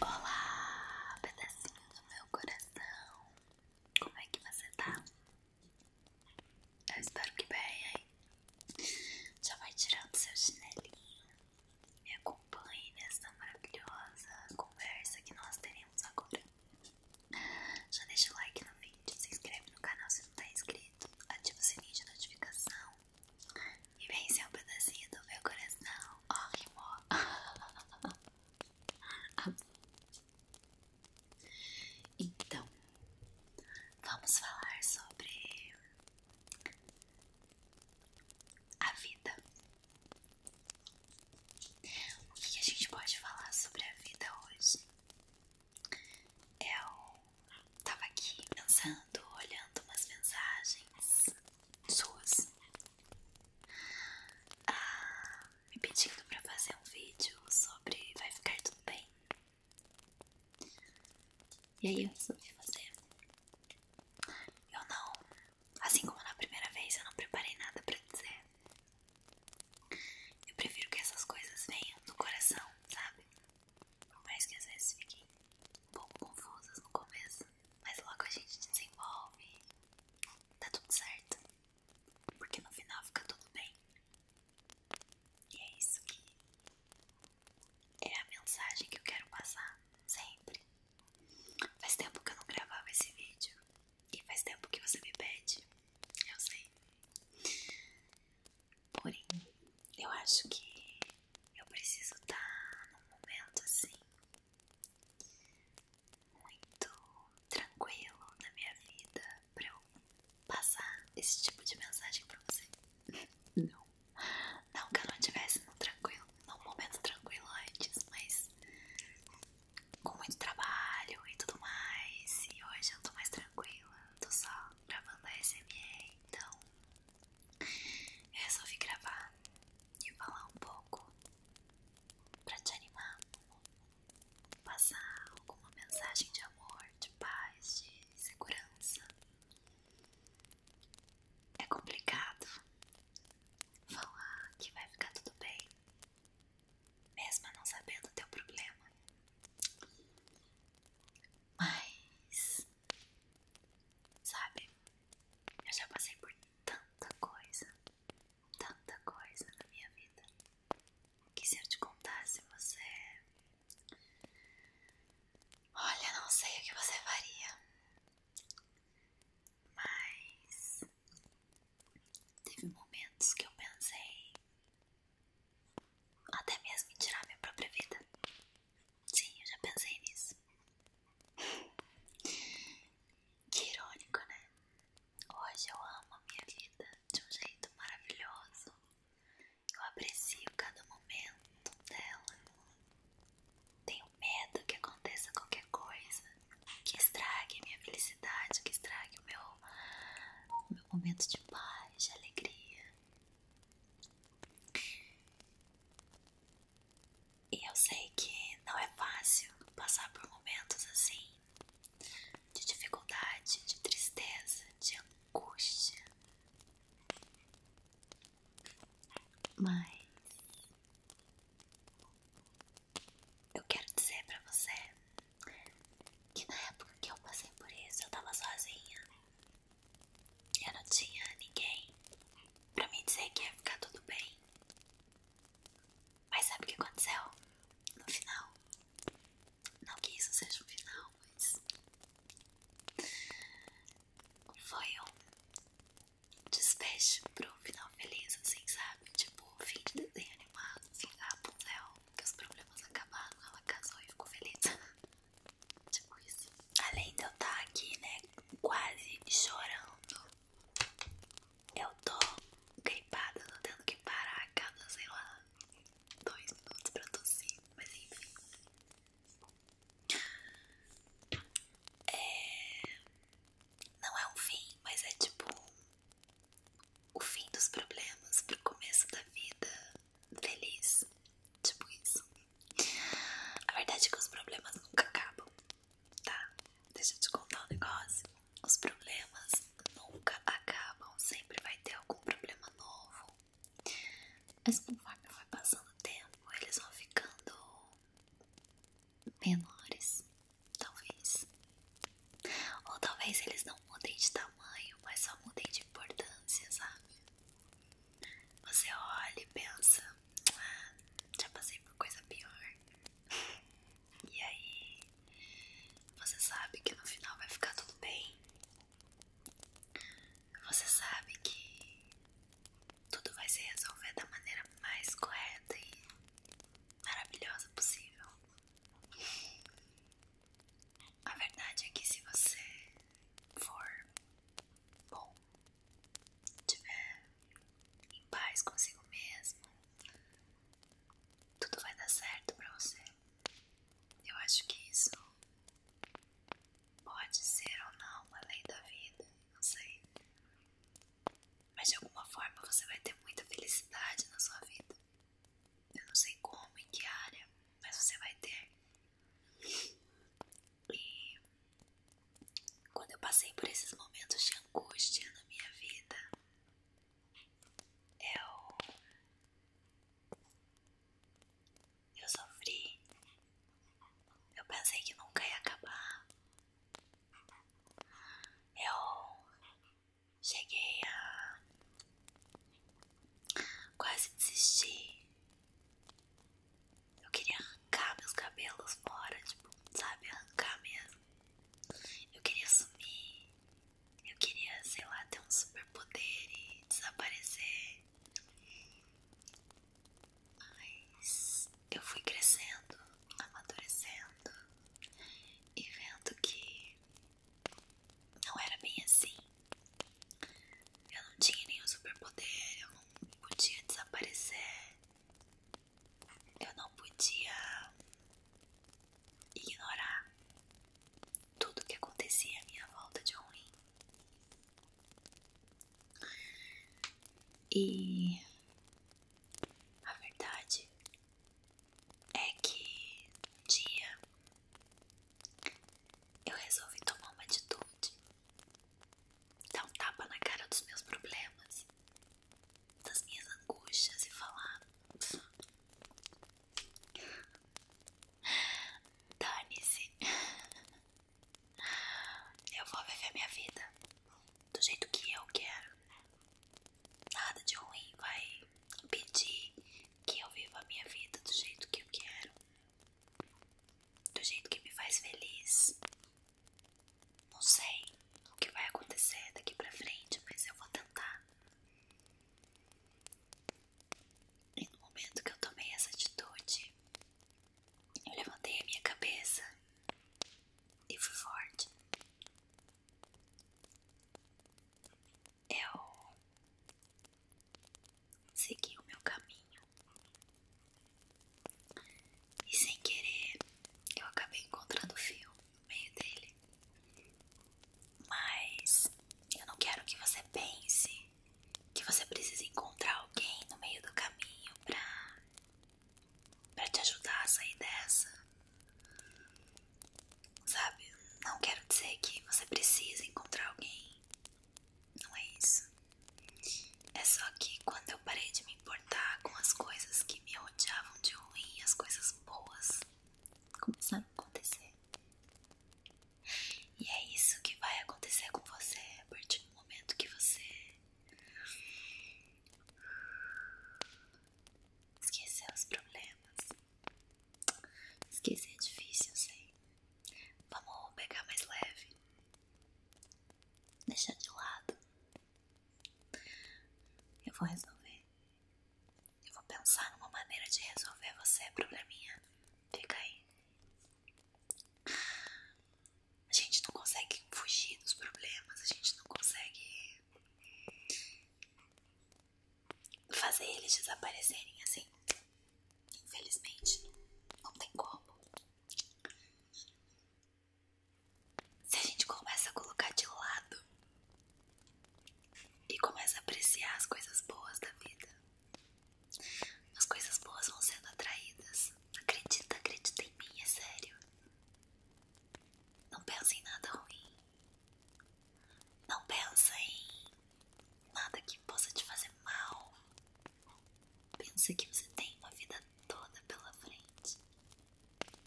Olá, pedacinho do meu coração. Como é que você tá? Eu espero que bem, hein? Já vai tirando seu chinelinho. Me acompanhe nessa maravilhosa conversa que nós teremos agora. Já deixa o like no vídeo, se inscreve no canal se não tá inscrito, ativa o sininho de notificação e vem ser um pedacinho do meu coração. Ó, oh, rimou. Então, vamos falar sobre a vida. O que a gente pode falar sobre a vida hoje? Eu tava aqui pensando, olhando umas mensagens suas ah, me pedindo para fazer um vídeo sobre vai ficar tudo bem. E aí eu resolvi Eu não, assim como na primeira vez, eu não preparei nada para dizer. Eu prefiro que essas coisas venham do coração, sabe? Por mais que às vezes fiquem um pouco confusas no começo, mas logo a gente desenvolve, tá tudo certo, porque no final fica tudo bem. E é isso que é a mensagem que eu quero passar sempre. Faz tempo que eu não gravava esse vídeo e faz tempo que você me pede, eu sei. Porém, eu acho que eu preciso estar tá num momento assim, muito tranquilo na minha vida, pra eu passar esse tipo de mensagem pra você. Não, não que eu não estivesse num tranquilo, num momento tranquilo antes, mas com muito trabalho e tudo mais. E hoje eu tô mais tranquila, tô só gravando a SMR, então resolvi gravar e falar um pouco para te animar, passar alguma mensagem de amor, de paz, de segurança. É complicado falar que vai ficar tudo bem, mesmo não sabendo o teu problema. Mas Sabe? Eu já passei por tanta coisa, tanta coisa na minha vida. Que se eu te contasse, você. Olha, não sei o que você faria. Mas. Teve momentos que eu pensei. Até mesmo em tirar minha própria vida. Sim, eu já pensei nisso. Que irônico, né? Hoje eu amo a minha vida de um jeito maravilhoso. Eu aprecio cada momento dela. Tenho medo que aconteça qualquer coisa que estrague minha felicidade, que estrague o meu, meu momento de paz, de alegria. E eu sei que não é fácil passar por momentos assim de dificuldade, de tristeza, de angústia. Mas eu quero dizer pra você que na época que eu passei por isso eu tava sozinha. Eu não tinha ninguém pra me dizer que ia ficar tudo bem. Mas sabe o que aconteceu? No final. Não que isso seja um final, mas. Foi um despecho pra um final feliz, assim, sabe? Tipo, fim de desenho animado, fim assim, ah, Rapunzel, que os problemas acabaram, ela casou e ficou feliz. Tipo isso. Além de eu estar tá aqui, né, quase chorando, eu tô gripada, tô tendo que parar a cada, sei lá, dois minutos pra tossir, mas enfim. É... Não é um fim, mas é tipo o fim dos problemas pro começo da vida feliz. Tipo isso. A verdade é que os problemas nunca acabam, tá? Deixa eu te contar um negócio. Os problemas nunca acabam, sempre vai ter algum problema novo. Mas conforme vai passando o tempo, eles vão ficando menores, talvez. Ou talvez eles não mudem de tamanho, mas só mudem de importância, sabe? Você olha e pensa, ah, já passei por coisa pior. E aí, você sabe que no final vai ficar tudo bem. Você sabe que tudo vai se resolver da maneira mais correta e maravilhosa possível. A verdade é que se você for bom, tiver em paz consigo mesmo, tudo vai dar certo pra você. Eu acho que isso pode ser ou não uma lei da vida, não sei. Mas de alguma forma você vai ter muita felicidade na sua vida. Eu não sei como, em que área, mas você vai ter. E quando eu passei por esses momentos de angústia na minha vida, eu. Eu sofri. Eu pensei que nunca ia acabar. Eu cheguei a quase desistir. Eu queria arrancar meus cabelos fora, tipo, sabe, arrancar mesmo. Eu queria sumir. Eu queria, sei lá, ter um super poder e desaparecer. Mas eu fui crescendo, amadurecendo e vendo que não era bem assim. Eu não tinha nenhum superpoder, eu não podia desaparecer, eu não podia ignorar tudo que acontecia à minha volta de ruim. E a verdade é que um dia eu resolvi tomar uma atitude, dar um tapa na cara dos meus problemas, das minhas angústias e falar: dane-se, eu vou viver minha vida do jeito que eu quero nada de ruim vai impedir que eu viva a minha vida do jeito que eu quero, do jeito que me faz feliz. Não sei o que vai acontecer daqui pra frente, mas eu vou tentar. E no momento que eu tomei essa atitude, eu levantei a minha cabeça e fui forte eu é segui o meu caminho e sem querer eu acabei encontrando o fio no meio dele. Mas eu não quero que você pense que você precisa encontrar alguém no meio do caminho para pra te ajudar a sair dessa sabe? Não quero dizer que você precisa encontrar alguém. Não é isso. É só que quando eu parei de me importar com as coisas que me rodeavam de ruim, as coisas boas começaram a acontecer. E é isso que vai acontecer com você a partir do momento que você esquecer os problemas Esquecer é difícil, eu sei. Vamos pegar mais leve. Deixar de lado. Eu vou resolver. Eu vou pensar numa maneira de resolver você, probleminha. Fica aí. A gente não consegue fugir dos problemas, a gente não consegue fazer eles desaparecerem assim. Infelizmente, não tem como. Se a gente começa a colocar de lado e começa a apreciar as coisas boas da vida, as coisas boas vão sendo atraídas. Acredita, acredita em mim, é sério. Não pensa em nada ruim. Não pensa em nada que possa te fazer mal. Pensa que você tem uma vida toda pela frente.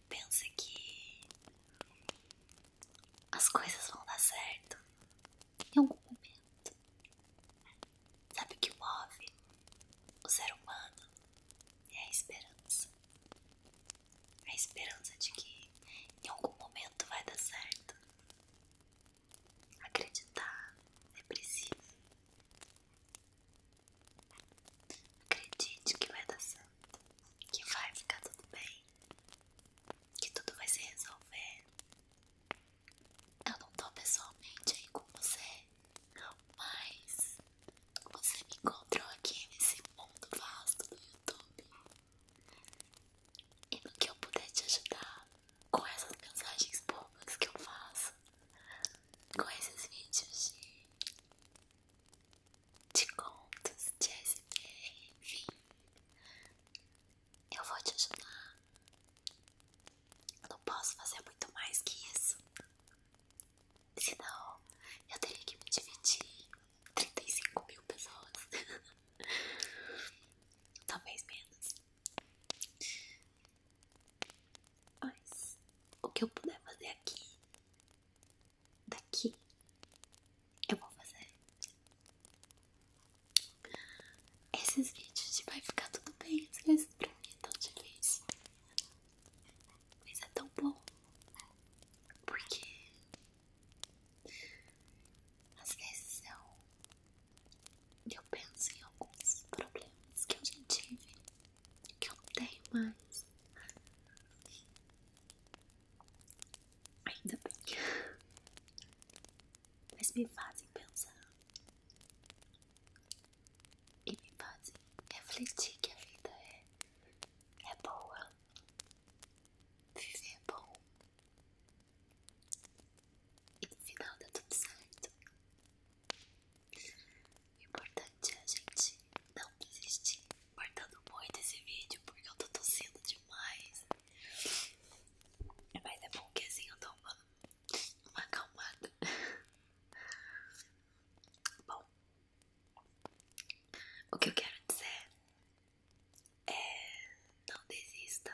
Pensa que as coisas vão dar certo em algum momento. Sabe o que move o ser humano? É a esperança a esperança de que em algum momento vai dar certo. Acreditar é preciso. Acredite que vai dar certo, que vai ficar tudo bem, que tudo vai se resolver. Eu não tô pessoalmente aí com você, mas você me encontrou aqui nesse mundo vasto do YouTube. E no que eu puder te ajudar com essas mensagens bobas que eu faço, com esses vídeos de, de contos, de SPR, enfim, eu vou te ajudar. não posso fazer muito mais que isso se não, eu teria que me dividir 35 mil pessoas. Talvez menos. Mas o que eu puder fazer aqui, daqui, eu vou fazer. Esses vídeos vai ficar tudo bem, às vezes pra mim é tão difícil. Mas é tão bom, né? Porque às vezes eu, é eu penso em alguns problemas que eu já tive, que eu não tenho mais. Ainda bem. Mas me fazem pensar e me faz refletir que a vida é, é boa, viver é bom e no final dá tá tudo certo. O importante é a gente não desistir. Cortando muito esse vídeo porque eu tô tossindo demais. Mas é bom que assim eu dou uma, uma acalmada. Bom, o que eu quero dizer é: não desista.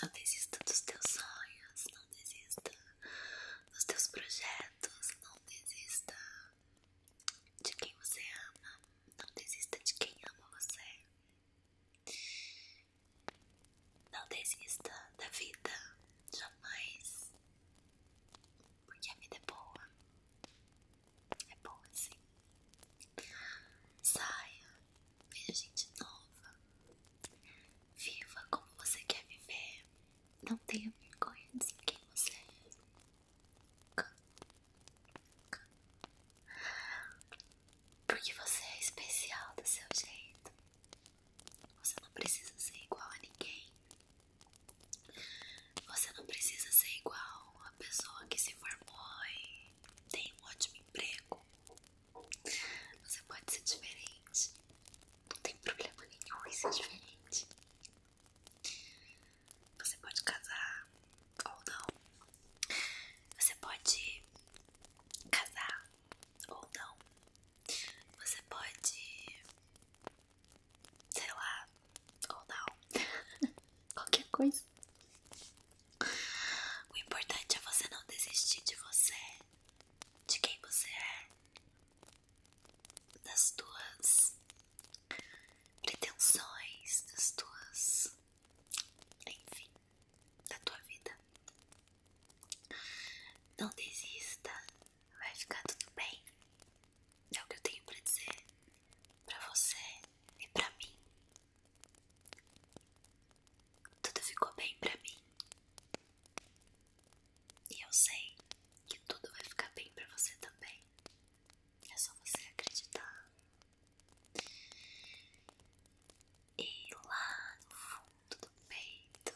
Não desista dos teus sonhos, não desista dos teus projetos, não desista de quem você ama, não desista de quem ama você. Não desista da vida, jamais. Porque a vida é boa. É boa assim. Saia, veja gente nova. Viva como você quer viver. Não tenha vergonha de ser quem você é. Porque você é especial do seu jeito. Você não precisa ser igual a ninguém. Você não precisa ser igual a pessoa que se formou e tem um ótimo emprego. Você pode ser diferente. Não tem problema nenhum em ser diferente. Você pode casar ou não. Você pode casar ou não. Você pode, sei lá, ou não, qualquer coisa. O importante é você não desistir de você, de quem você é, das tuas pretensões, das tuas. Enfim, da tua vida. Não desista, vai ficar tudo bem. É o que eu tenho para dizer para você e para mim. Tudo ficou bem para mim. E eu sei que tudo vai ficar bem para você também. É só você acreditar e lá no fundo do peito,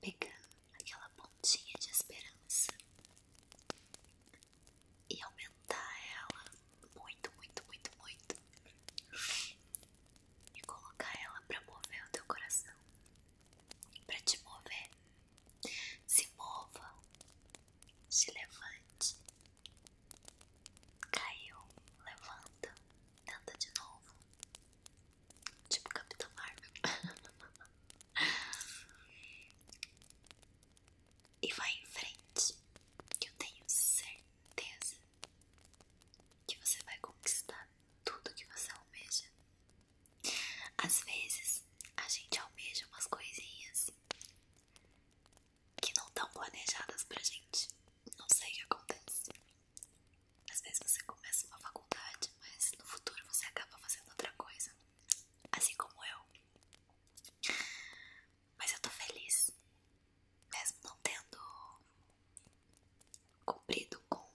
pegando aquela pontinha de esperança e aumentar ela muito, muito, muito, muito e colocar ela para mover o teu coração, para te mover. Se mova, se levante. Caiu, levanta, tenta de novo. Tipo Capitão Marvel. e vai em frente, que eu tenho certeza que você vai conquistar tudo que você almeja. Às vezes a gente almeja umas coisinhas que não estão planejadas pra gente. Não sei o que acontece. Às vezes você começa uma faculdade, mas no futuro você acaba fazendo outra coisa. Assim como eu. Mas eu tô feliz. Mesmo não tendo cumprido com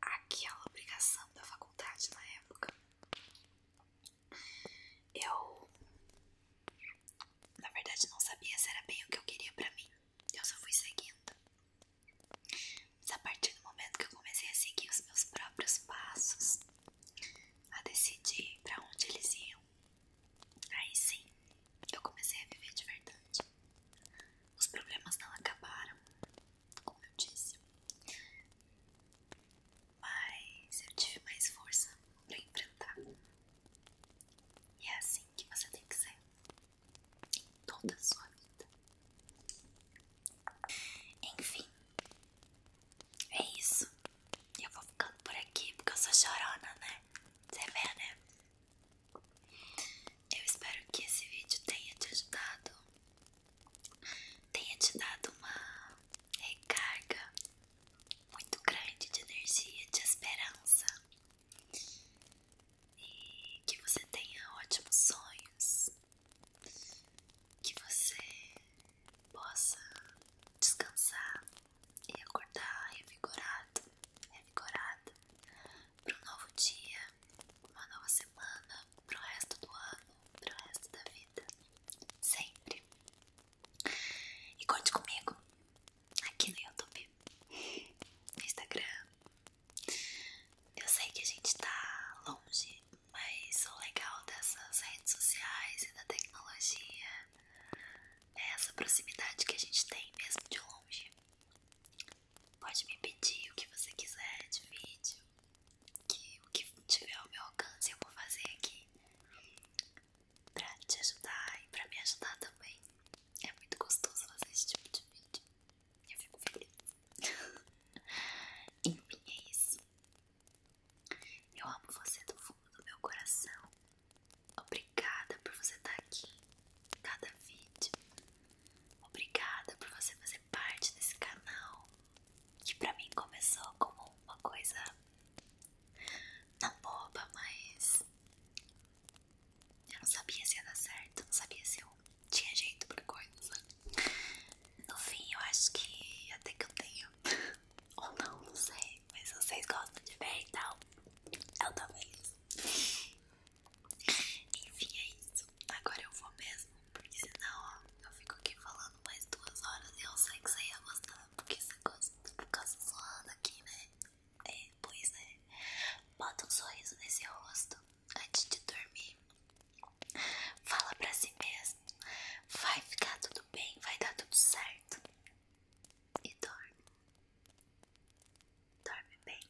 aquela obrigação da faculdade na época. Eu, na verdade, não sabia se era bem o que eu queria pra mim. Eu só fui seguindo. Mas a partir do momento que eu comecei a seguir os meus próprios passos, a decidir pra onde eles iam, aí sim eu comecei a viver de verdade. Os problemas não acabaram, como eu disse mas eu tive mais força para enfrentar. E é assim que você tem que ser em toda a sua vida. Enfim, é isso. Eu vou ficando por aqui porque eu sou chorona, né? Você vê, né? Eu espero que esse vídeo tenha te ajudado, tenha te dado uma recarga muito grande de energia, de esperança. E que você tenha ótimos sonhos. Que você possa descansar e acordar revigorado, revigorado para um novo dia, uma nova semana, para o resto do ano, para o resto da vida. Sempre e conte comigo aqui no YouTube, no Instagram. Eu sei que a gente tá longe, mas o legal dessas redes sociais e da tecnologia é essa proximidade que a gente tem mesmo de longe. Pode me pedir o que você quiser de vídeo, que o que tiver ao meu alcance eu vou fazer aqui pra te ajudar e pra me ajudar também. É muito gostoso fazer esse tipo de vídeo. Eu fico feliz. Enfim, é isso. Eu amo você do fundo do meu coração. Obrigada por você estar aqui em cada vídeo. Obrigada por você fazer parte desse canal que pra mim começou como uma coisa não boba, mas eu não sabia se ia dar certo, não sabia se eu tinha jeito pra coisa. No fim, eu acho que até que eu tenho, ou não, não sei, mas vocês gostam de ver e tal, eu também. Enfim, é isso. Agora eu vou mesmo, porque senão ó, eu fico aqui falando mais duas horas e eu sei que você ia gostar, porque você gosta por causa zoando aqui, né? É, pois é. Bota um sorriso nesse rosto antes de dormir. Fala pra si mesmo. Vai ficar tudo bem, vai dar tudo certo. E dorme. Dorme bem.